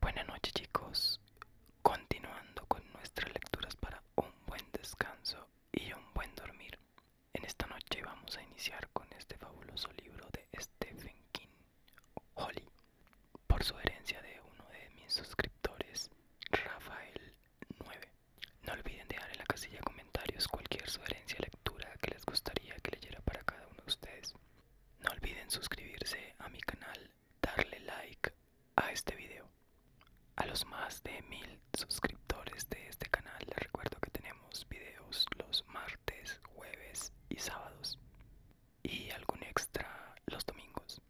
Buenas noches chicos, continuando con nuestras lecturas para un buen descanso y un buen dormir. En esta noche vamos a iniciar con este fabuloso libro de Stephen King, Holly, por herencia de uno de mis suscriptores, Rafael 9. No olviden dejar en la casilla de comentarios cualquier sugerencia o lectura que les gustaría que leyera para cada uno de ustedes. No olviden suscribirse a mi canal, darle like a este video. A los más de mil suscriptores de este canal les recuerdo que tenemos videos los martes, jueves y sábados y algún extra los domingos.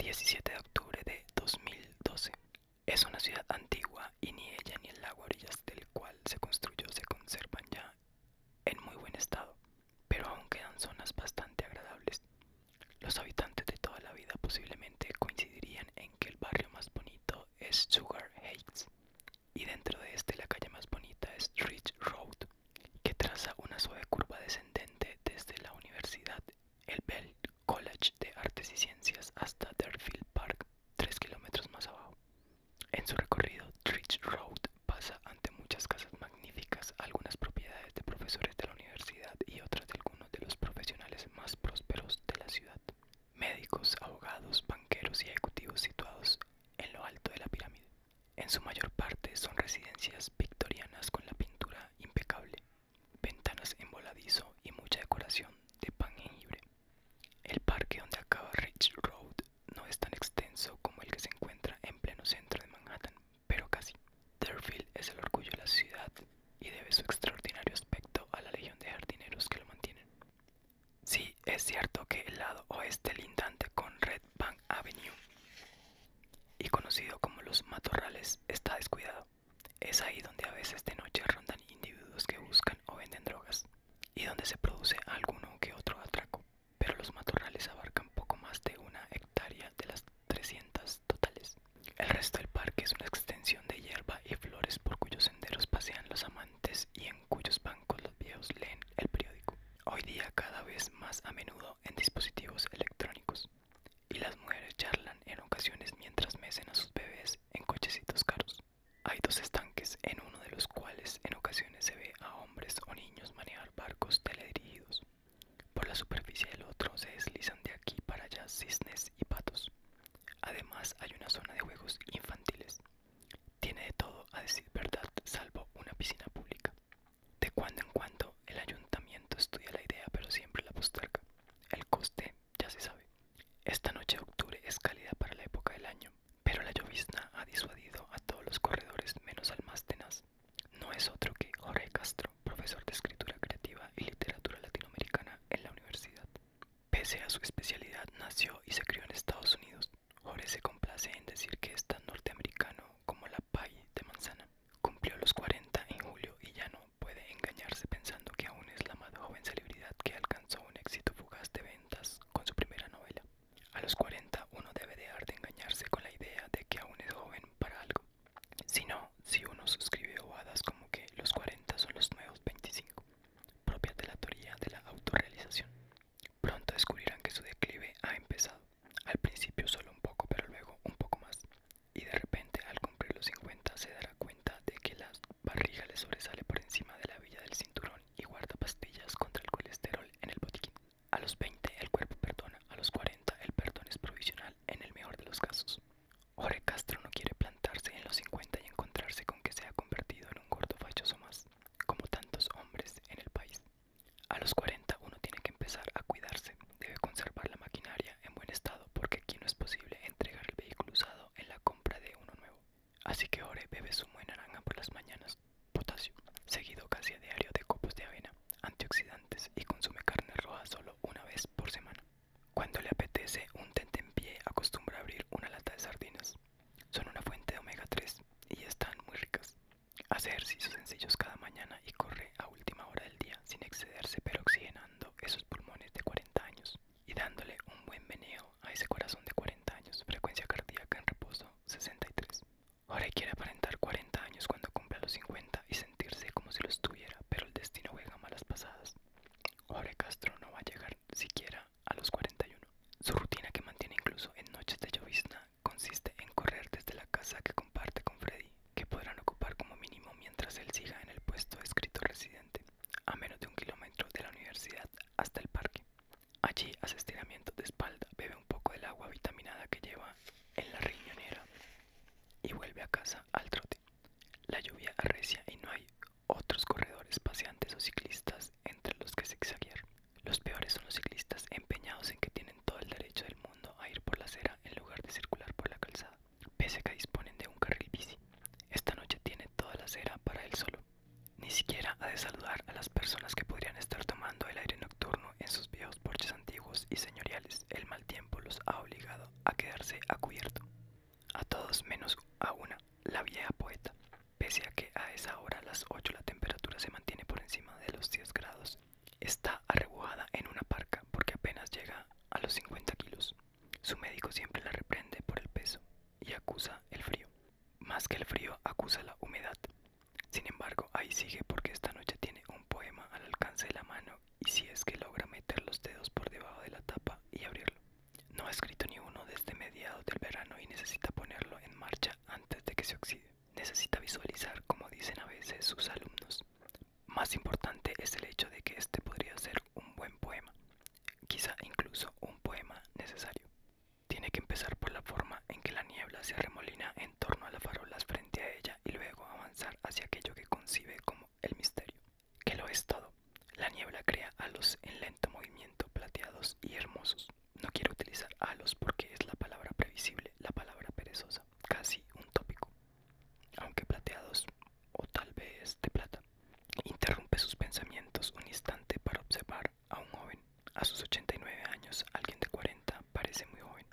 17 de octubre de 2012. Es una ciudad antigua y ni ella ni el lago orillas del cual se construyó se conservan ya en muy buen estado, pero aún quedan zonas bastante agradables. Los habitantes de toda la vida posiblemente coincidirían en que el barrio más bonito es Sugar Heights y dentro de este la calle más bonita es Ridge Road, que traza una suave curva descendente desde la Universidad, el Bell College de Artes y Ciencias hasta Deerfield Park, 3 kilómetros más abajo. En su recorrido, Ridge Road pasa ante muchas casas magníficas, algunas propiedades de profesores de la universidad y otras de algunos de los profesionales más prósperos de la ciudad médicos, abogados, banqueros y ejecutivos situados en lo alto de la pirámide. En su mayor parte son residencias victorianas con la pintura impecable, ventanas en voladizo y mucha decoración de pan hibre. El parque donde acaba Rich Road no es tan extenso como el que se encuentra en pleno centro de Manhattan, pero casi. Deerfield es el orgullo de la ciudad y debe su extraordinario aspecto a la legión de jardineros que lo mantienen. Sí, es cierto que el lado oeste lindante con Red Bank Avenue y conocido como los matorrales está descuidado. Es ahí donde a veces de noche rondan individuos que buscan o venden drogas y donde se produce alguno que otro atraco, pero los matorrales abarcan poco más de una hectárea de las 300 totales. El resto del parque es una extensión de hierba y flores por cuyos senderos pasean los amantes y en cuyos bancos los viejos leen el periódico. Hoy día cada vez más a menudo en dispositivos electrónicos. Y las mujeres charlan en ocasiones mientras mecen a sus bebés en cochecitos caros. Hay dos estanques, en uno de los cuales en ocasiones se ve a hombres o niños manejar barcos teledirigidos. Por la superficie del otro se deslizan de aquí para allá cisnes y patos. Además hay una zona de juegos infantiles. Tiene de todo, a decir verdad, salvo una piscina pública. De cuando en cuando el ayuntamiento estudia la idea pero siempre la posterga. El coste ya se sabe. Esta noche de octubre es cálida para la época del año, pero la llovizna ha disuadido a todos los corredores menos al más tenaz. No es otro que Jorge Castro, profesor de escritura creativa y literatura latinoamericana en la universidad. Pese a su especialidad, nació y se crió en Estados Unidos. Jorge se complace en decir que es tan norteamericano como la pie de manzana. Cumplió los 40 en julio y ya no puede engañarse pensando que aún es la más joven celebridad que alcanzó un éxito fugaz de ventas con su primera novela. A los 40 uno debe dejar de engañarse con la idea de que aún es joven para algo. Si no, si uno suscribe bobadas como que los 40 son los nuevos 25, propias de la teoría de la autorrealización. Pronto descubrirán que su declive ha empezado, al principio solo un poco, pero luego un poco más, y de repente al cumplir los 50 se dará cuenta de que la barriga le sobresale por encima de la villa del cinturón y guarda pastillas contra el colesterol en el botiquín. A los 20 el cuerpo perdona, a los 40 el perdón es provisional en el mejor de los casos. Ore Castro no quiere plantarse en los 50 y encontrarse con que se ha convertido en un gordo fachoso más, como tantos hombres en el país. A los 40 uno tiene que empezar a cuidarse, debe conservar la maquinaria en buen estado porque aquí no es posible entregar el vehículo usado en la compra de uno nuevo. Así que Ore bebe su buena naranja por las mañanas, potasio, seguido casi a diario de copos de avena, antioxidantes y consume carne roja solo una vez por semana. Cuando le apetece, un en pie acostumbra a abrir una lata de sardinas. Son una fuente de omega 3 y están muy ricas. Hace ejercicios sencillos cada mañana y corre a última hora del día sin excederse, pero oxigenando esos pulmones de 40 años y dándole un buen meneo a ese corazón de 40 años. Frecuencia cardíaca en reposo 63. Ahora quiere aparentar 40 años cuando cumpla los 50 y sentirse como si lo estuviera, pero el destino juega malas pasadas. Jorge Castro no va a llegar siquiera a los 41. Su rutina que mantiene incluso en noches de llovizna consiste en correr desde la casa que comparte con Freddy, que podrán ocupar como mínimo mientras él siga en el puesto de escritor residente, a menos de un kilómetro de la universidad hasta el parque. Allí hace estiramientos de espalda, bebe un poco del agua vitaminada que lleva en la riñonera y vuelve a casa al trote. La lluvia arrecia y no hay otros corredores paseantes o ciclistas entre los que se zigzaguear. Los peores son los ciclistas empeñados en que tienen todo el derecho del mundo a ir por la acera en lugar de circular por la calzada, pese a que disponen de un carril bici. Esta noche tiene toda la acera para él solo. Ni siquiera ha de saludar a las personas que podrían estar tomando el aire nocturno en sus viejos porches antiguos y señoriales. El mal tiempo los ha obligado a quedarse a cubierto a todos menos a una, la vieja poeta, pese a que a esa hora, a las 8, la temperatura se mantiene por encima de los 10 grados, está arrebujada en una parca porque apenas llega a los 50 kilos. Su médico siempre la reprende por el peso y acusa el frío. Más que el frío, acusa la humedad. Sin embargo, ahí sigue porque esta noche tiene un poema al alcance de la mano y si es que logra meter los dedos por debajo de la tapa y abrirlo. No ha escrito ni uno desde mediados del verano y necesita ponerlo en marcha antes de que se oxide. Necesita visualizar, como dicen a veces sus alumnos. Más importante es el hecho de que este podría ser un buen poema, quizá incluso un poema necesario. Tiene que empezar por la forma en que la niebla se remolina en torno a las farolas frente a ella y luego avanzar hacia aquello que concibe como el misterio que lo es todo. La niebla crea halos en lento movimiento, plateados y hermosos. No quiero utilizar halos porque es la palabra previsible, la palabra perezosa, casi un tópico. Aunque plateados o tal vez de plata. Interrumpe sus pensamientos un instante para observar a un joven. A sus 89 años, alguien de 40 parece muy joven,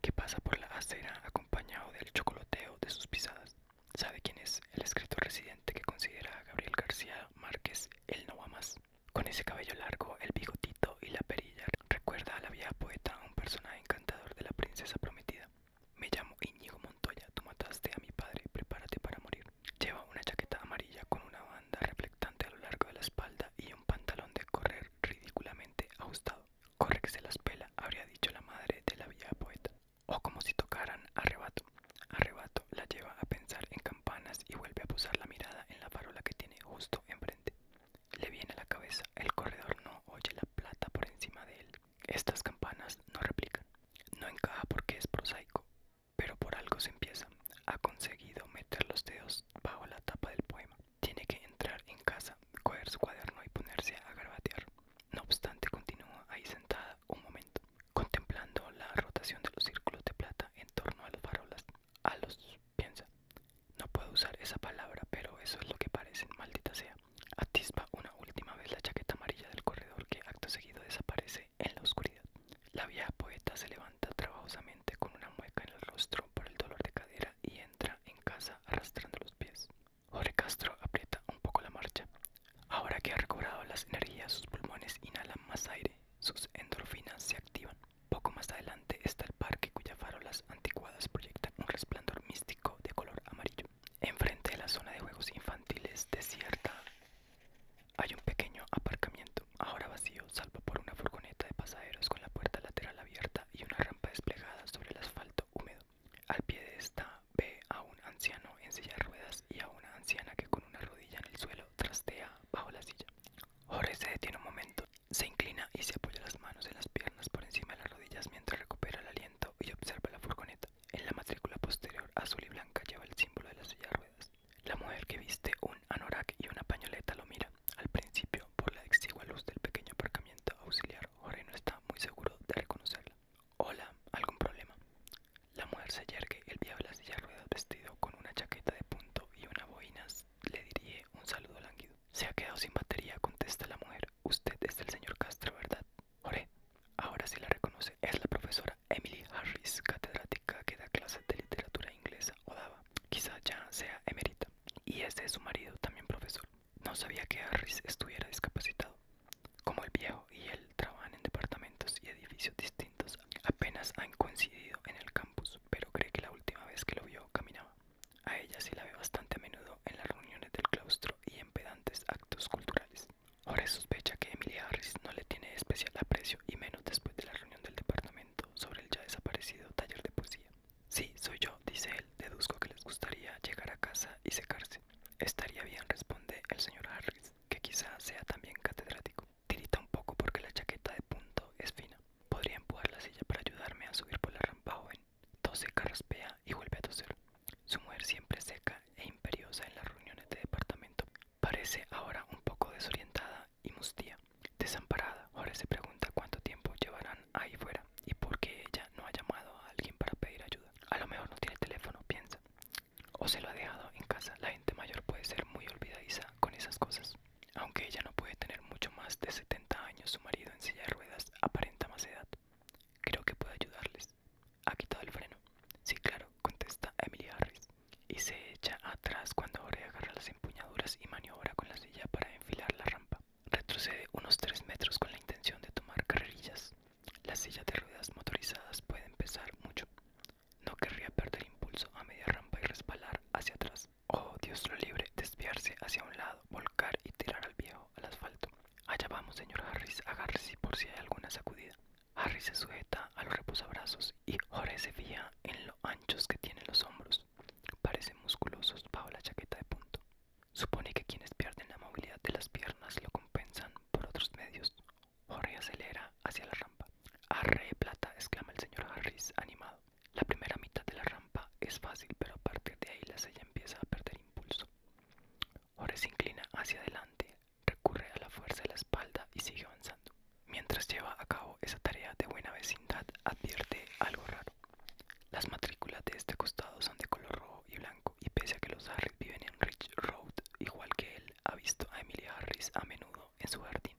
que pasa por la acera acompañado del chocolateo de sus pisadas. ¿Sabe quién es el escritor residente que considera a Gabriel García Márquez el no va más? Con ese cabello largo, el bigotito y la perilla recuerda a la vieja poeta, un personaje encantador de la princesa prometida. Me llamo Íñigo Montoya, tú mataste a mi padre, prepárate para morir. Lleva una chaqueta amarilla con una banda reflectante a lo largo de la espalda y un pantalón de correr ridículamente ajustado. Corre que se las pela, habría dicho la madre de la vieja poeta o como si tocaran arrebato. Arrebato la lleva a pensar en campanas y vuelve a posar la mirada en la parola que tiene justo enfrente. Le viene a la cabeza, el corredor no oye la plata por encima de él. Estas campanas no replican. No encaja porque es prosaico, pero por algo se empieza. Ha conseguido meter los dedos bajo la tapa del poema. Tiene que entrar en casa, coger su cuaderno y ponerse a garbatear. No obstante, continúa ahí sentada un momento, contemplando la rotación de los círculos de plata en torno a las farolas. A los piensa. No puedo usar esa palabra, pero eso es lo que parece, maldita sea. Atisba una última vez la chaqueta amarilla del corredor que acto seguido desaparece en la oscuridad. La vieja poeta se levanta trabajosamente con una mueca en el rostro por el dolor de cadera y entra en casa arrastrando los pies. Jorge Castro aprieta un poco la marcha. Ahora que ha recobrado las energías, sus pulmones inhalan más aire, sus endorfinas se activan. Poco más adelante está el parque cuyas farolas anticuadas proyectan un resplandor místico de color amarillo. Enfrente de la zona de juegos infantiles desierta hay un pequeño aparcamiento, ahora vacío, salvo por una furgoneta de pasajeros con la puerta lateral abierta y una rampa desplegada sobre el asfalto húmedo. Al pie de esta ve a un anciano en silla de ruedas y a una anciana que con una rodilla en el suelo trastea bajo la silla. Jorge se detiene un momento, se inclina y se apoya las manos en las piernas por encima de las rodillas mientras recupera el aliento y observa la furgoneta. En la matrícula posterior azul y blanca lleva el símbolo de la silla de ruedas. La mujer que viste un anorak y una pañoleta lo mira. Al principio, por la exigua luz del pequeño aparcamiento auxiliar, Jorge no está muy seguro de reconocerla. Hola, ¿algún problema? La mujer se yergue, el diablo de la silla ruedas vestido con una chaqueta de punto y una boinas. le diría un saludo lánguido. Se ha quedado sin batería, contesta la mujer. Usted es el señor Castro, ¿verdad? Oré. ahora sí la reconoce. Es la profesora Emily Harris, catedrática que da clases de literatura inglesa o daba. Quizá ya sea emerita. Y este es su marido, también profesor. No sabía que Harris estuviera discapacitado. Como el viejo y él trabajan en departamentos y edificios distintos, apenas han coincidido en el campus, pero cree que la última vez que lo vio caminaba. A ella sí la ve bastante a menudo en las reuniones del claustro y en pedantes actos culturales. Ahora sospecha que Emilia Harris no le tiene especial aprecio y menos después de la reunión del departamento sobre el ya desaparecido taller de poesía. Sí, soy yo, dice él, deduzco que les gustaría llegar a casa y secarse Estaría bien, responde el señor Harris, que quizá sea también catedrático. Tirita un poco porque la chaqueta de punto es fina. Podría empujar la silla para ayudarme a subir por la rampa joven. Tose, carraspea y vuelve a toser. Su mujer siempre seca e imperiosa en las reuniones de departamento. Parece ahora un poco desorientada y mustia Desamparada, ahora se pregunta cuánto tiempo llevarán ahí fuera y porque ella no ha llamado a alguien para pedir ayuda. A lo mejor no tiene teléfono, piensa. O se lo ha dejado en casa. La gente mayor puede ser muy olvidadiza con esas cosas. Aunque ella no puede tener mucho más de 70 años, su marido en silla de ruedas aparenta más edad. Creo que puede ayudarles. ¿Ha quitado el freno? Sí, claro, contesta Emily Harris. Y se echa atrás cuando Ore agarra las empuñaduras y maniobra con la silla para enfilar la rampa. Retrocede unos 3 metros con la intención de tomar carrerillas. Las silla de ruedas motorizadas pueden pesar mucho. No querría perder impulso a media rampa y respalar hacia atrás. Oh, Dios lo libre, desviarse hacia un lado, volcar y tirar al viejo al asfalto. Allá vamos, señor Harris, agárrese por si hay alguna sacudida. Harris se sujeta a los reposabrazos y Jorge se fija en lo anchos que tienen los hombros. Parecen musculosos bajo la chaqueta de punto. Supone que quienes pierden la movilidad de las piernas lo compensan por otros medios. Jorge acelera hacia la rampa. Arre plata, exclama el señor Harris animado. La primera mitad de la rampa es fácil, pero a partir de ahí la sella empieza a perder impulso. Jorge se inclina hacia adelante, recurre a la fuerza de la espalda y sigue avanzando. Mientras lleva a cabo esa tarea de buena vecindad, advierte algo raro. Las matrículas de este costado son de color rojo y blanco y pese a que los Harris viven en Ridge Road, igual que él, ha visto a Emily Harris a menudo en su jardín.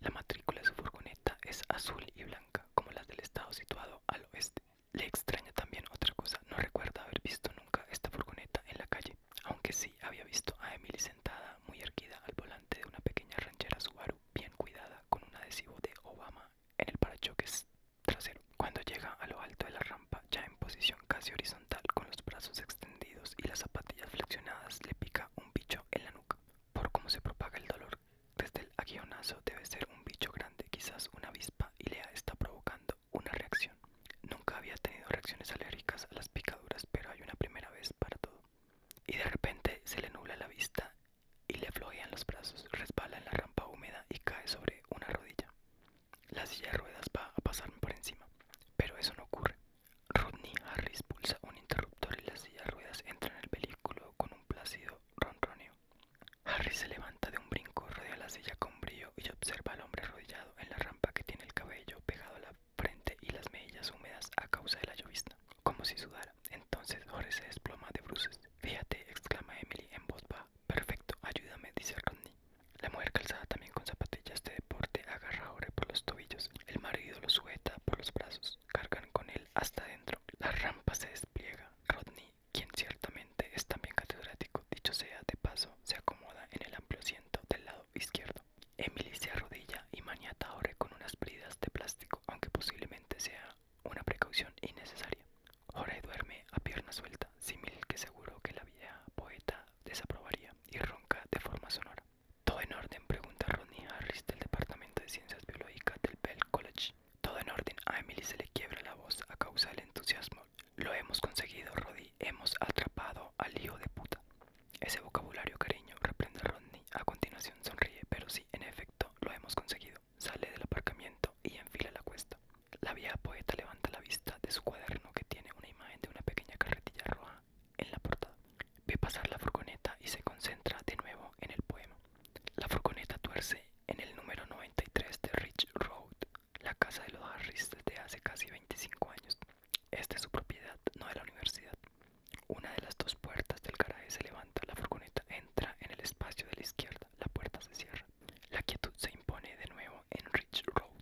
La matrícula de su furgoneta es azul y blanca, como las del estado situado al oeste. Le extraña también otra cosa, no recuerda haber visto nunca esta furgoneta en la calle, aunque sí había visto a Emily sentada muy erguida al volante de una pequeña ranchera Subaru bien cuidada con un adhesivo de Obama en el parachoques trasero. Cuando llega a lo alto de la rampa, ya en posición casi horizontal, con los brazos extendidos y las zapatillas flexionadas, le pica un bicho en la nuca. Por cómo se propaga el dolor desde el aguionazo, debe ser un bicho grande, quizás una avispa, y le está provocando una reacción. Nunca había tenido reacciones alérgicas a las picaduras, pero hay una primera vez para todo. Y de repente se le nubla la vista y le flojean los brazos, resbala en la rampa húmeda y cae sobre una rodilla la silla de ruedas va a pasar por encima, pero eso no ocurre. Rodney Harris pulsa un interruptor y la silla de ruedas entra en el vehículo con un plácido ronroneo. Harris se levanta de un brinco, rodea la silla con brío y observa al hombre arrodillado en la rampa que tiene el cabello pegado a la frente y las mejillas húmedas a causa de la llovizna, como si sudara. Entonces Jorge se desploma de bruces. Fíjate, exclama Emily en voz baja perfecto, ayúdame, dice Rodney. La mujer calzada también con zapatillas de deporte agarra a por los tobillos. El marido lo sujeta por los brazos. Cargan con él hasta dentro. La rampa se despliega. Rodney, quien ciertamente es también catedrático, dicho sea de paso, se acomoda en el amplio asiento del lado izquierdo. Emily se arrodilla y maniata a con unas bridas de plástico, aunque posiblemente sea una precaución innecesaria. Jorge duerme a pierna suelta, Simil que seguro que la vieja poeta desaprobaría, y ronca de forma sonora. ¿Todo en orden? pregunta Rodney Harris del Departamento de Ciencias Biológicas del Bell College. Todo en orden, a Emily se le quiebra la voz a causa del entusiasmo. Lo hemos conseguido, Roddy, hemos atrapado al hijo de puta. Ese vocabulario cariño reprende a Rodney. A continuación sonríe, pero sí, en efecto, lo hemos conseguido sale del aparcamiento y enfila la cuesta. La vieja poeta levanta la vista de su cuaderno que tiene una imagen de una pequeña carretilla roja en la portada. Ve pasar la furgoneta y se concentra de nuevo en el poema. La furgoneta tuerce en el número 93 de Rich Road, la casa de los Harris desde hace casi 25 años. Esta es su propiedad, no de la universidad. Una de las dos puertas del garaje se levanta, la furgoneta entra en el espacio de la izquierda, la puerta se cierra. La quietud se impone de nuevo en Rich Road.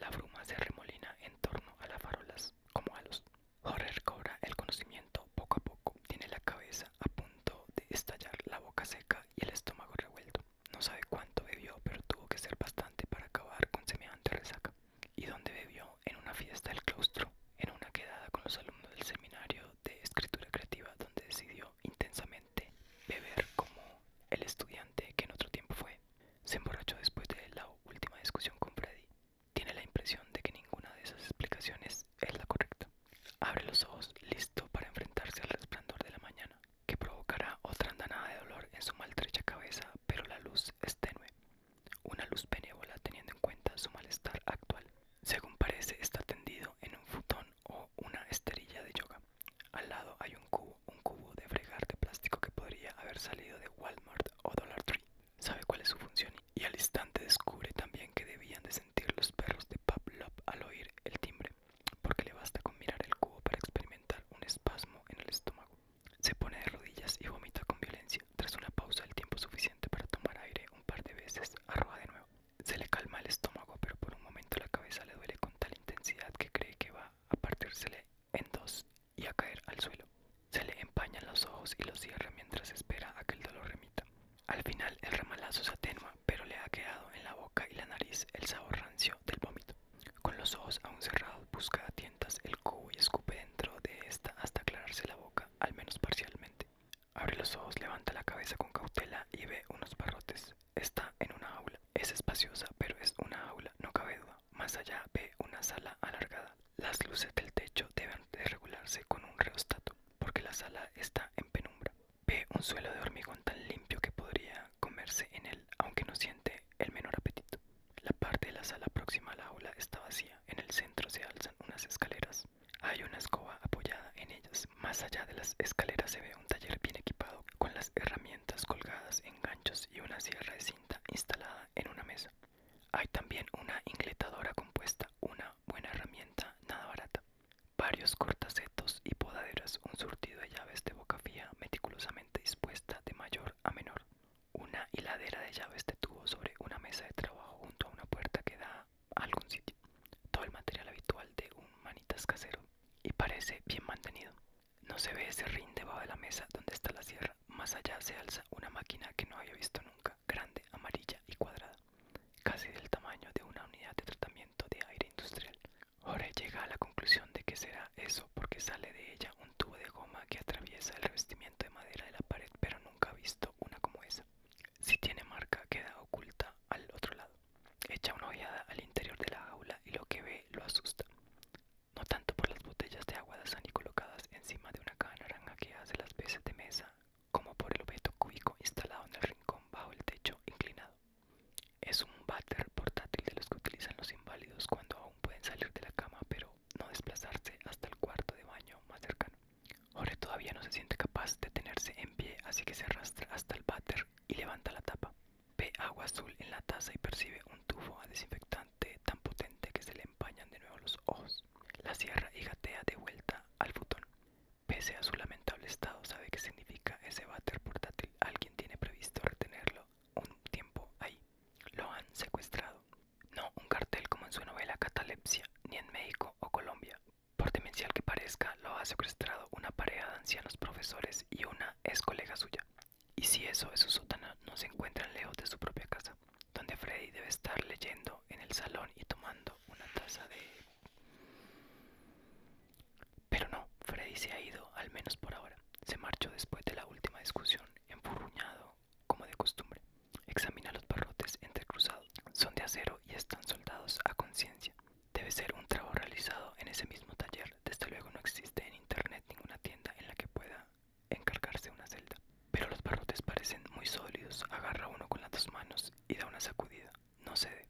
La bruma se remolina en torno a las farolas como a los... Jorge cobra el conocimiento poco a poco. Tiene la cabeza a punto de estallar, la boca seca y el estómago revuelto. No sabe cuánto bebió, pero tuvo que ser bastante para acabar con semejante resaca. ¿Y donde bebió? En una fiesta del claustro, en una quedada con los alumnos del seminario de escritura creativa, donde decidió intensamente, beber como el estudiante que en otro tiempo fue. Se emborrachó después de la última discusión con Freddy. Tiene la impresión de que ninguna de esas explicaciones es la correcta. Abre los ojos, listo para enfrentarse al resplandor de la mañana, que provocará otra andanada de dolor en su maltrecha cabeza, pero la luz es tenue. Una luz benévola teniendo en cuenta su malestar actual. Según parece, está tendido en un futón o una esterilla de yoga. Al lado hay un cubo, un cubo de fregar de plástico que podría haber salido de Walmart o Dollar Tree. Sabe cuál es su función y al instante descubre también que debían de sentir los perros de Paplop al oír el timbre, porque le basta con mirar el cubo para experimentar un espasmo en el estómago. Se pone de rodillas y vomita con violencia. Tras una pausa el tiempo suficiente para tomar aire un par de veces, arroja de nuevo. Se le calma el estómago, pero por un momento la cabeza le duele con tal intensidad que cree que va a partírsele en dos y a caer al suelo. Se le empañan los ojos y los cierra mientras espera a que el dolor remita. Al final el remalazo se atenúa, pero le ha quedado en la boca y la nariz el sabor rancio del vómito. Con los ojos aún cerrados, busca a tientas el cubo y escupe dentro de esta hasta aclararse la boca, al menos parcialmente. Abre los ojos, levanta la cabeza con cautela y ve unos barrotes. Está en una aula. Es espaciosa, pero es una aula, no cabe duda. Más allá ve una sala alargada. Las luces del techo deben de regularse con un reostato, porque la sala está en penumbra. Ve un suelo de hormigón tan limpio que podría comerse en él, aunque no siente el menor apetito. La parte de la sala próxima a la aula está vacía. En el centro se alzan unas escaleras hay una escoba apoyada en ellas. Más allá de las escaleras se ve un taller bien equipado con las herramientas colgadas en ganchos y una sierra de cinta instalada en una mesa. Hay también una ingletadora compuesta, una buena herramienta, nada barata. Varios cortacetos y podaderas, un surtido de llaves de boca fía meticulosamente dispuesta de mayor a menor. Una hiladera de llaves de tubo sobre una mesa de trabajo junto a una puerta que da algún sitio. Todo el material habitual de un manitas casero y parece bien mantenido. No se ve ese rin debajo de la mesa donde está la sierra. Más allá se alza una máquina que no había visto nunca, grande, amarilla y cuadrada, casi del tamaño de una unidad de tratamiento de aire industrial. Jorge llega a la conclusión de que será eso porque sale de ella un tubo de goma que atraviesa el revestimiento de madera de la pared, pero nunca ha visto una como esa. Si tiene marca, queda oculta al otro lado. Echa una ojeada al interior de la aula y lo que ve lo asusta. No tanto por las botellas de agua de Sani colocadas encima de una caja naranja que hace las veces de mesa, como por el objeto cúbico instalado en el rincón bajo el techo inclinado. Es un váter portátil de los que utilizan los inválidos cuando aún pueden salir de la cama, pero no desplazarse hasta el cuarto de baño más cercano. Jorge todavía no se siente capaz de tenerse en pie, así que se arrastra hasta el váter y levanta la tapa. Ve agua azul en la taza y percibe un tufo a desinfectante tan potente que se le empañan de nuevo los ojos. La cierra y gatea de vuelta al futón. Pese a su lamentable estado, sabe qué significa ese váter portátil. Alguien tiene previsto retenerlo un tiempo ahí. Lo han secuestrado. No un cartel como en su novela Catalepsia, ni en México o Colombia, por demencial que parezca, lo ha secuestrado una pareja de ancianos profesores y una ex colega suya. Y si eso es su sótano, no se encuentran lejos de su propia casa, donde Freddy debe estar leyendo en el salón y tomando una taza de... Pero no, Freddy se ha ido, al menos por ahora. Se marchó después de la última discusión, empurruñado como de costumbre. Examina los barrotes entrecruzados son de acero y están soldados a conciencia. Debe ser un trabajo realizado en ese mismo taller. Desde luego no existe en internet ninguna tienda en la que pueda encargarse una celda. Pero los barrotes parecen muy sólidos. Agarra uno con las dos manos y da una sacudida. No cede.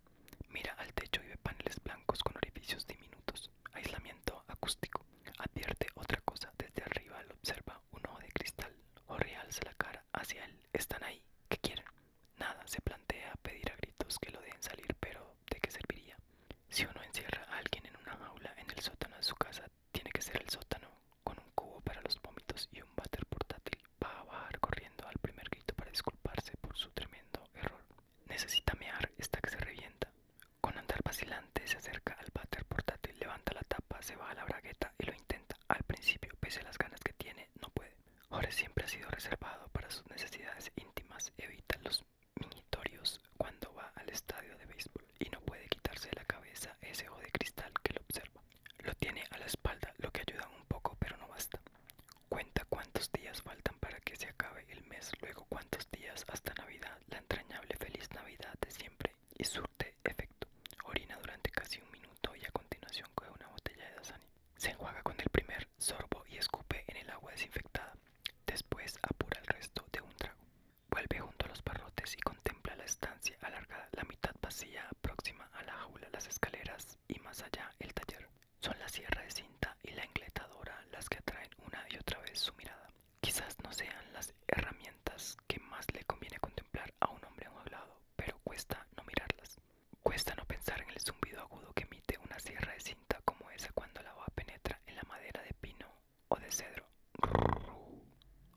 Mira al techo y ve paneles blancos con orificios diminutos. Aislamiento acústico. Advierte otra cosa. Desde arriba lo observa un ojo de cristal. O realza la cara hacia él. Están ahí. que quieren? Nada. Se plantea pedir a gritos que lo dejen salir, pero ¿de qué serviría? Si uno encierra a alguien en una jaula en el sótano de su casa, tiene que ser el sótano, con un cubo para los vómitos y un váter portátil. Va a bajar corriendo al primer grito para disculparse por su tremendo error. Necesita mear, hasta que se revienta. Con andar vacilante se acerca al váter portátil, levanta la tapa, se va a la bragueta y lo intenta. Al principio, pese a las ganas que tiene, no puede. Jorge siempre ha sido reservado para sus necesidades íntimas, evita los minitorios cuando va al estadio de béisbol y no puede quitarse la cabeza ese ojo de cristal que lo observa. Lo tiene a la espalda, lo que ayuda un poco, pero no basta. Cuenta cuántos días faltan para que se acabe el mes, luego cuántos días hasta Navidad, la entrañable feliz Navidad de siempre y surte efecto. Orina durante casi un minuto y a continuación coge una botella de Dasani se enjuaga con el primer sorbo y escupe en el agua desinfectada. Después apura el resto de un trago. Vuelve junto a los parrotes y contempla la estancia alargada, la mitad vacía, próxima a la jaula, las escaleras y más allá el taller. Son la sierra de cinta y la engletadora las que atraen una y otra vez su mirada. Quizás no sean las herramientas que más le conviene contemplar a un hombre enjaulado, pero cuesta no mirarlas. Cuesta no pensar en el zumbido agudo que emite una sierra de cinta como esa cuando la hoja penetra en la madera de pino o de cedro.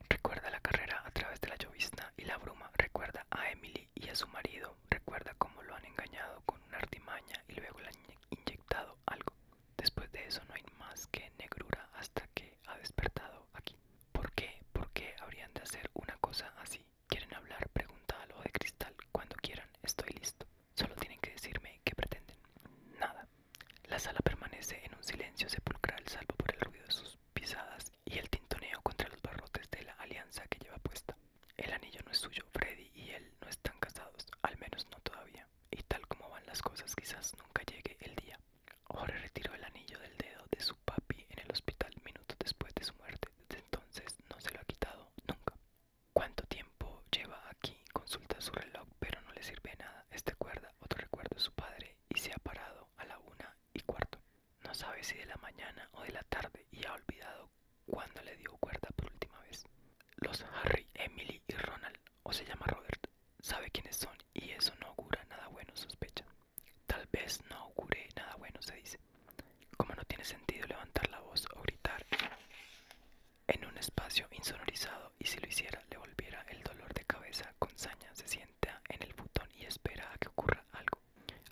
Recuerda la carrera a través de la llovizna y la bruma. Recuerda a Emily y a su marido. Recuerda cómo lo han engañado con una artimaña y luego le han inyectado algo. Después de eso no hay más que negrura hasta que ha despertado aquí. ¿Por qué? ¿Por qué habrían de hacer una cosa así? ¿Quieren hablar? Pregunta algo de cristal. Cuando quieran, estoy listo. Solo tienen que decirme qué pretenden. Nada. La sala permanece en un silencio sepulcral, salvo por el ruido de sus pisadas y el tintoneo contra los barrotes de la alianza que lleva puesta. El anillo no es suyo, Freddy y él no están casados, al menos no todavía. Y tal como van las cosas, quizás nunca llegue el día. Jorge retiró el anillo del dedo de su papi en el hospital minutos después de su muerte. Desde entonces no se lo ha quitado nunca. ¿Cuánto tiempo lleva aquí? Consulta su reloj, pero no le sirve nada. Este cuerda otro recuerdo de su padre y se ha parado a la una y cuarto. No sabe si de la mañana o de la tarde y ha olvidado cuándo le dio cuerda por última vez. Los Harry, Emily y Ronald, o se llama Robert, sabe quiénes son y eso no augura nada bueno, sospecha. Tal vez no ocurre nada bueno, se dice. Como no tiene sentido levantar la voz o gritar en un espacio insonorizado y si lo hiciera le volviera el dolor de cabeza con saña, se sienta en el botón y espera a que ocurra algo,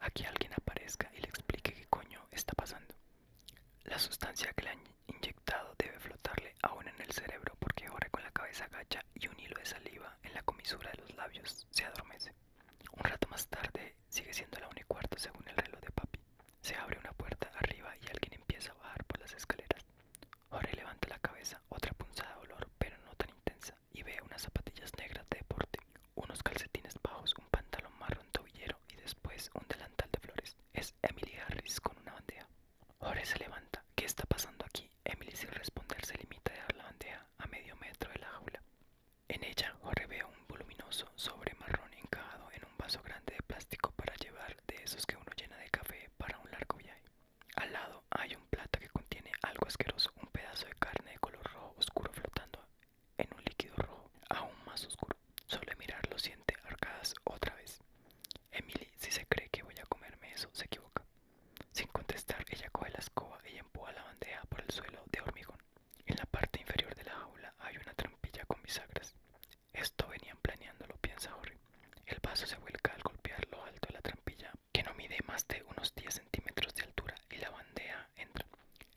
a que alguien aparezca y le explique qué coño está pasando. La sustancia que le han inyectado debe flotarle aún en el cerebro porque ahora con la cabeza gacha y un hilo de saliva en la comisura de los labios se adormece. Un rato más tarde, sigue siendo la 1 y cuarto según el reloj de papi. Se abre una puerta arriba y alguien empieza a bajar por las escaleras. Jorge levanta la cabeza, otra punzada de olor, pero no tan intensa, y ve unas zapatillas negras de deporte, unos calcetines bajos, un pantalón marrón tobillero y después un delantal de flores. Es Emily Harris con una bandeja. Jorge se levanta. ¿Qué está pasando aquí? Emily sin responder se limita a dar la bandeja a medio metro de la jaula. En ella ve un voluminoso sobre marrón encajado en un vaso grande de plástico para llevar de esos que uno llena de café para un largo viaje. Al lado hay un plato que contiene algo asqueroso, un pedazo de carne de color rojo oscuro flotando en un líquido rojo, aún más oscuro. Solo mirarlo siente arcadas otra vez. Emily, si se cree que voy a comerme eso, se equivoca. Sin contestar, ella coge la escoba y empuja la bandeja por el suelo de hormigón. En la parte inferior de la jaula hay una trampilla con bisagras. Esto venían planeándolo, piensa Jorge El vaso se vuelca al golpear lo alto de la trampilla, que no mide más de unos 10 centímetros de altura, y la bandeja entra.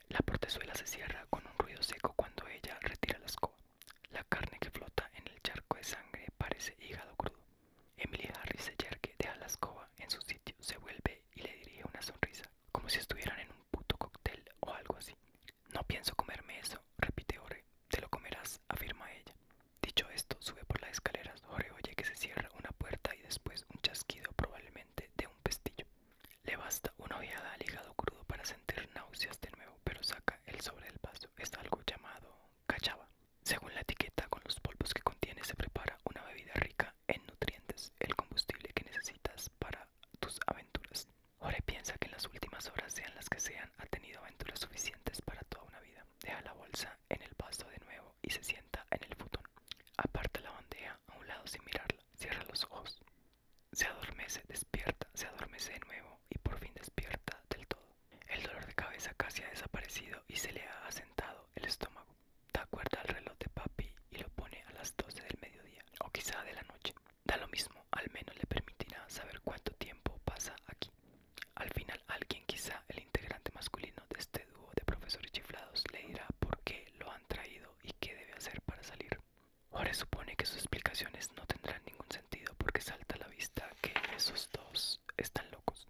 La portezuela se cierra con un ruido seco cuando ella retira la escoba. La carne que flota en el charco de sangre parece hígado crudo. Emily Harris se deja la escoba en su sitio, se vuelve y le dirige una sonrisa, como si estuvieran en un puto cóctel o algo así. No pienso comerme eso, repite Ore. Te lo comerás, afirma ella. Dicho esto, sube por las escaleras. Ore oye que se cierra una puerta y después un chasquido probablemente de un pestillo. Le basta una ojeada al hígado crudo para sentir náuseas de nuevo, pero saca el sobre del vaso. Es algo llamado cachava. Según la etiqueta, con los polvos que contiene se prepara una bebida rica en nutrientes, el combustible que necesitas para tus aventuras. Ore piensa que en las últimas horas, sean las que sean, ha tenido aventuras suficientes para toda una vida. Deja la bolsa en el pasto de nuevo y se sienta en el futón. Aparta la bandeja a un lado sin mirarla. Cierra los ojos. Se adormece, despierta, se adormece de nuevo y por fin despierta del todo. El dolor de cabeza casi ha desaparecido y se le ha asentado el estómago da cuerda al reloj de papi y lo pone a las 12 del mediodía o quizá de la noche. Da lo mismo, al menos le permitirá saber cuánto tiempo pasa aquí. Al final alguien, quizá el integrante masculino de este dúo de profesores chiflados, le dirá por qué lo han traído y qué debe hacer para salir. ahora supone que sus explicaciones no tendrán ningún sentido porque salta a la vista que esos dos están locos.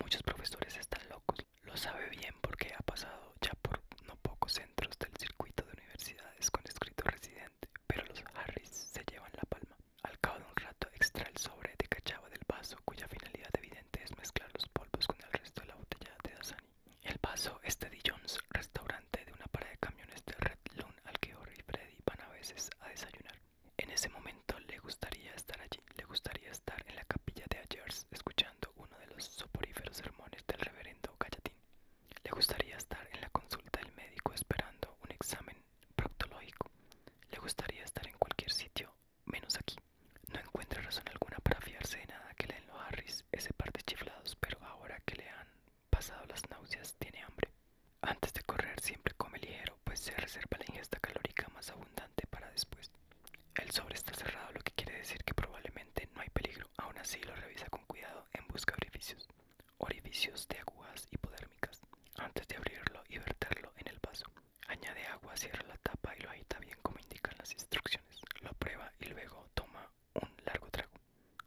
Muchos profesores están locos, lo sabe bien porque ha pasado ya por no pocos centros del circuito de universidades con escrito residente, pero los Harris se llevan la palma. Al cabo de un rato extrae el sobre de cachava del vaso, cuya finalidad evidente es mezclar los polvos con el resto de la botella de Dasani. El vaso es de John's, restaurante de una parada de camiones de Red Loon al que Horry y Freddy van a veces a desayunar. En ese momento, le gustaría estar allí, le gustaría estar en la capilla de Ayers escuchando uno de los soporíferos sermones del reverendo Gallatín. Le gustaría estar en la consulta del médico esperando un examen proctológico. Le gustaría estar en cualquier sitio, menos aquí. No encuentra razón alguna para fiarse de nada que leen los Harris, ese par de chiflados, pero ahora que le han pasado las náuseas tiene hambre. Antes de correr siempre come ligero, pues se reserva la ingesta calórica más abundante para después. El sobre está cerrado, lo que quiere decir que probablemente no hay peligro. Aún así, lo revisa con cuidado en busca de orificios, orificios de agujas hipodérmicas, antes de abrirlo y verterlo en el vaso. Añade agua, cierra la tapa y lo agita bien como indican las instrucciones. Lo prueba y luego toma un largo trago.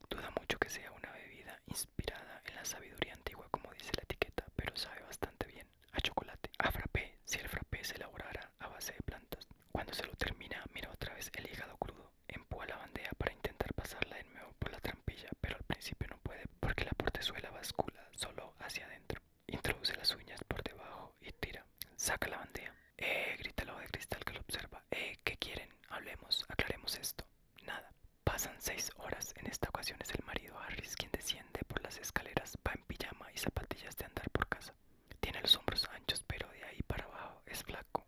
Duda mucho que sea una bebida inspirada en la sabiduría antigua como dice la etiqueta, pero sabe bastante bien a chocolate, a frappe si el frappe se elaborara a base de plantas. Cuando se lo termina, mira otra vez el hígado crudo, empúa la bandeja para intentar pasarla de nuevo por la trampilla, pero al principio no puede porque la portezuela bascula solo hacia adentro. Introduce las uñas por debajo y tira. Saca la bandeja. Eh, grita ojo de cristal que lo observa. Eh, ¿qué quieren? Hablemos, aclaremos esto. Nada. Pasan seis horas. En esta ocasión es el marido Harris quien desciende por las escaleras pijama y zapatillas de andar por casa. Tiene los hombros anchos, pero de ahí para abajo es flaco.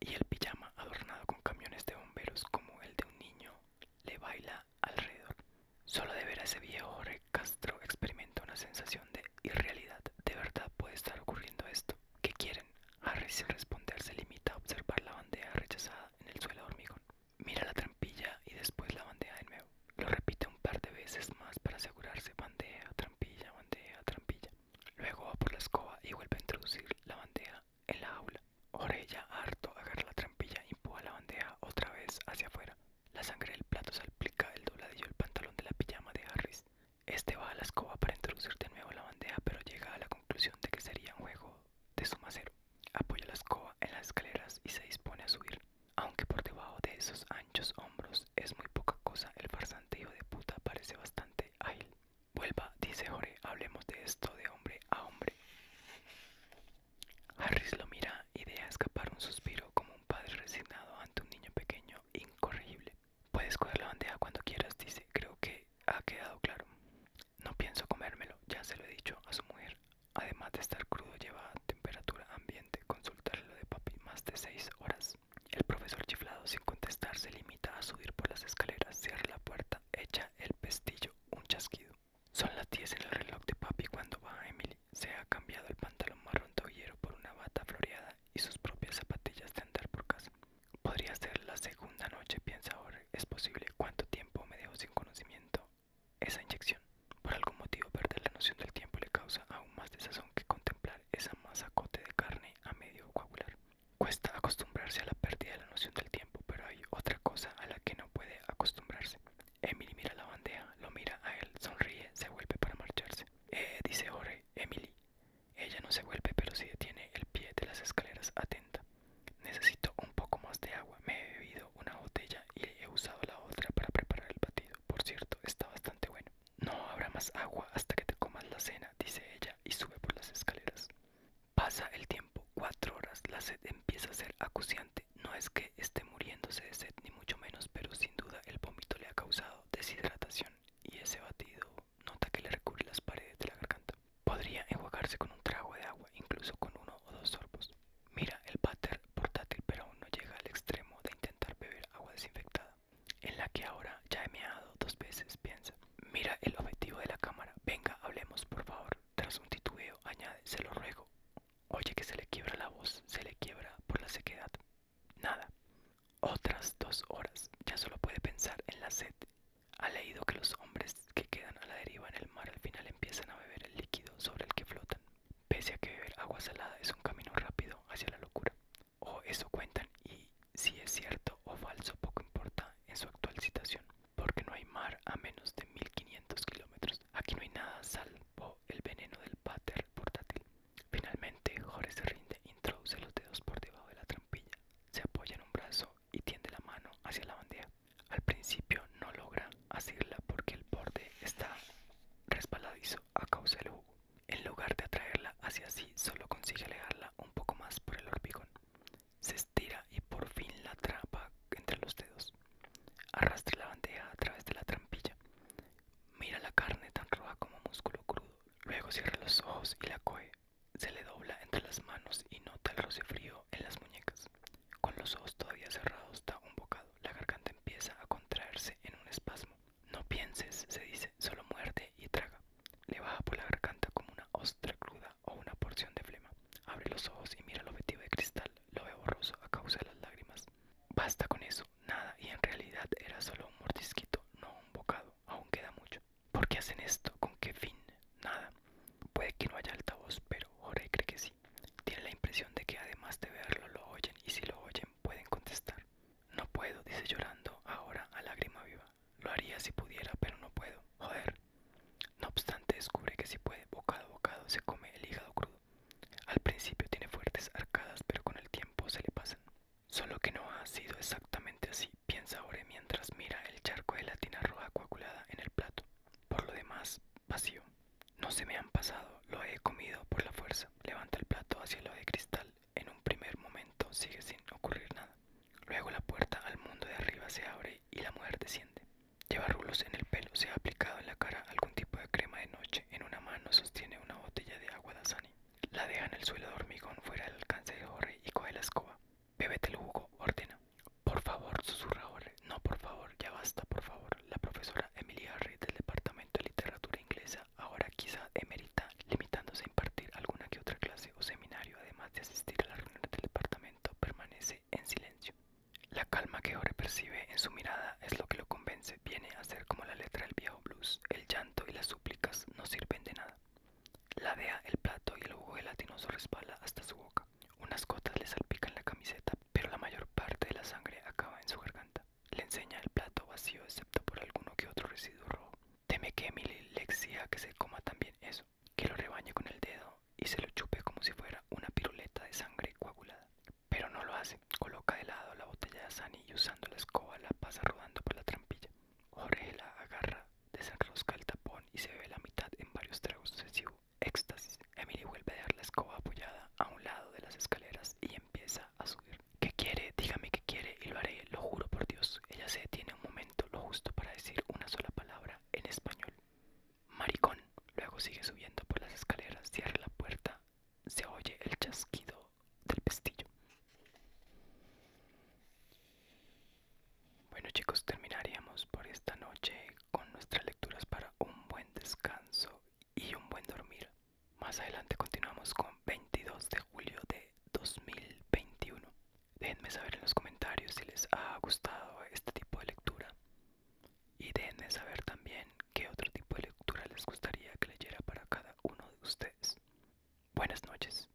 Y el pijama, adornado con camiones de bomberos como el de un niño, le baila alrededor. Solo de ver a ese viejo Jorge Castro experimenta una sensación de irrealidad. ¿De verdad puede estar ocurriendo esto? ¿Qué quieren? Harry sin responder se limita a observar la bandeja rechazada en el suelo de hormigón. Mira la trampilla y después la bandeja de nuevo. Lo repite un par de veces más para asegurarse. Bandeja, trampilla, bandeja, trampilla. Luego va por la escoba y vuelve a introducir la bandeja en la aula Orella, harto, agarra la trampilla y empuja la bandeja otra vez hacia afuera. La sangre del plato salpica el dobladillo del pantalón de la pijama de Harris. Este va a la escoba para introducir de nuevo la bandeja, pero llega a la conclusión de que sería un juego de suma cero. Apoya la escoba en las escaleras y se dispone a subir. Aunque por debajo de esos anchos hombros es muy poca cosa, el farsante hijo de puta parece bastante ágil. Vuelva, dice Jorge, hablemos de esto de hombre a hombre. Harris lo mira y deja escapar un suspiro como un padre resignado ante un niño pequeño incorregible. Puedes coger la bandeja cuando quieras, dice, creo que ha quedado claro. No pienso comérmelo, ya se lo he dicho a su mujer Además de estar crudo, lleva a temperatura ambiente. Consultar lo de papi más de 6 horas. El profesor chiflado, sin contestar, se limita a subir por las escaleras, cierra la puerta, echa el pestillo, un chasquido. Son las 10 en el reloj de papi cuando va Emily. Se ha cambiado el pantalón marrón tobillero por una bata floreada y sus propias zapatillas de andar por casa. Podría ser la segunda noche, piensa ahora. Es posible. ¿Cuánto tiempo me dejo sin conocimiento? Esa inyección, por algún motivo, perder la noción del tiempo le causa aún más desazón que contemplar esa cote de carne a medio coagular. Cuesta acostumbrarse a la pérdida de la noción del tiempo, pero hay otra cosa a la que no puede acostumbrarse. Emily mira la bandeja, lo mira a él, sonríe, se vuelve para marcharse. Eh, dice ore Emily. Ella no se vuelve, pero sí detiene el pie de las escaleras atenta. Necesito un poco más de agua, me he bebido una botella y he usado la otra para preparar el batido. Por cierto, está bastante bueno. No habrá más agua hasta que te comas la cena, dice ella y sube por las escaleras. Pasa el tiempo, cuatro horas, la sed empieza a ser acuciante. No es que esté muriéndose de sed, ni mucho menos, pero sin duda el vómito le ha causado deshidratación y ese batido nota que le recubre las paredes de la garganta. Podría enjuagarse con un trago de agua, incluso con uno o dos sorbos. Mira, el váter portátil pero aún no llega al extremo de intentar beber agua desinfectada, en la que ahora ya he meado dos veces, piensa. Mira el objetivo de la cámara. Venga, hablemos, por favor. Tras un titubeo, añade, se lo ruego. Oye que se le quiebra la voz, se le quiebra por la sequedad. Nada. Otras dos horas. Ya solo puede pensar en la sed. Ha leído que los hombres que quedan a la deriva en el mar al final empiezan a beber el líquido sobre el que flotan. Pese a que beber agua salada es un camino rápido hacia la locura. O eso cuentan y si es cierto o falso poco importa en su actual situación Porque no hay mar a menos de 1500 kilómetros. Aquí no hay nada salvo el veneno del pater portátil. Finalmente, Jorge se rinde, introduce los dedos por debajo de la trampilla, se apoya en un brazo y tiende la mano hacia la bandera al principio no logra asirla porque el borde está resbaladizo a causa del jugo. En lugar de atraerla hacia sí, solo consigue alejarla un poco más por el hormigón. Se estira y por fin la atrapa entre los dedos. Arrastra la bandeja a través de la trampilla. Mira la carne tan roja como músculo crudo. Luego cierra los ojos y la coge. Se le dobla entre las manos y nota el roce frío en las muñecas. Con los ojos todavía cerrados da un bocado. La garganta empieza a contraerse en un espasmo. No pienses, se dice, solo muerde y traga. Le baja por la garganta como una ostra cruda o una porción de flema. Abre los ojos y mira el objetivo de cristal. Lo ve borroso a causa de las lágrimas. Basta con eso, nada, y en realidad era solo un mordisquito, no un bocado. Aún queda mucho. ¿Por qué hacen esto? ¿Con qué fin? Nada. Puede que no haya altavoz, pero Jorge cree que sí. Tiene la impresión de que además de verlo lo oyen y si lo oyen pueden contestar. No puedo, dice llorando ahora a lágrima viva. Lo haría si pudiera, pero no puedo. Joder. No obstante, descubre que si puede, bocado a bocado, se come el hígado crudo. Al principio tiene fuertes arcadas, pero con el tiempo se le pasan. Solo que no ha sido exactamente así, piensa ahora mientras mira el charco de latina roja coagulada en el plato. Por lo demás, vacío. No se me han pasado, lo he comido por la fuerza. Levanta el plato hacia lo de cristal. En un primer momento sigue sin ocurrir nada. Luego la puerta al mundo de arriba se abre y la mujer desciende. Lleva rulos en el pelo, se ha aplicado en la cara algún tipo de crema de noche. En una mano sostiene una botella de agua dasani. La deja en el suelo de hormigón fuera del alcance de Jorge y coge la escoba. Bébete el jugo, ordena. Por favor, susurra Ore. No, por favor, ya basta, por favor. La profesora Emily Harry del Departamento de Literatura Inglesa, ahora quizá emerita, limitándose a impartir alguna que otra clase o seminario, además de asistir a las reuniones del departamento, permanece en silencio. La calma que Ore percibe en su mirada es lo que lo convence. Viene a ser como la letra del viejo blues. El llanto y las súplicas no sirven de nada. Ladea el plato y el jugo gelatinoso respala hasta su boca. Unas gotas le salpican la camiseta, pero la mayor parte de la sangre acaba en su garganta. Le enseña el plato vacío, excepto por alguno que otro residuo rojo. Teme que Emily le exija que se coma también eso, que lo rebañe con el dedo y se lo chupe como si fuera una piruleta de sangre coagulada. Pero no lo hace, coloca de lado la botella de Sunny y usando la escoba la pasa rodando por la trampilla. Jorge la agarra, desenrosca el tapón y se bebe la mitad en varios tragos sucesivos éxtasis, Emily vuelve a dejar la escoba apoyada a un lado de las escaleras y empieza a subir. ¿Qué quiere? Dígame qué quiere y lo haré, lo juro por Dios. Ella se detiene un momento, lo justo para decir una sola palabra en español. Maricón. Luego sigue subiendo por las escaleras, cierra la puerta, se oye el chasquido del pestillo. Bueno chicos, terminaríamos por esta noche con nuestras lecturas para un buen descanso y un buen dormir. Más adelante continuamos con 22 de julio de 2021. Déjenme saber en los comentarios si les ha gustado este tipo de lectura y déjenme saber también qué otro tipo de lectura les gustaría que leyera para cada uno de ustedes. Buenas noches.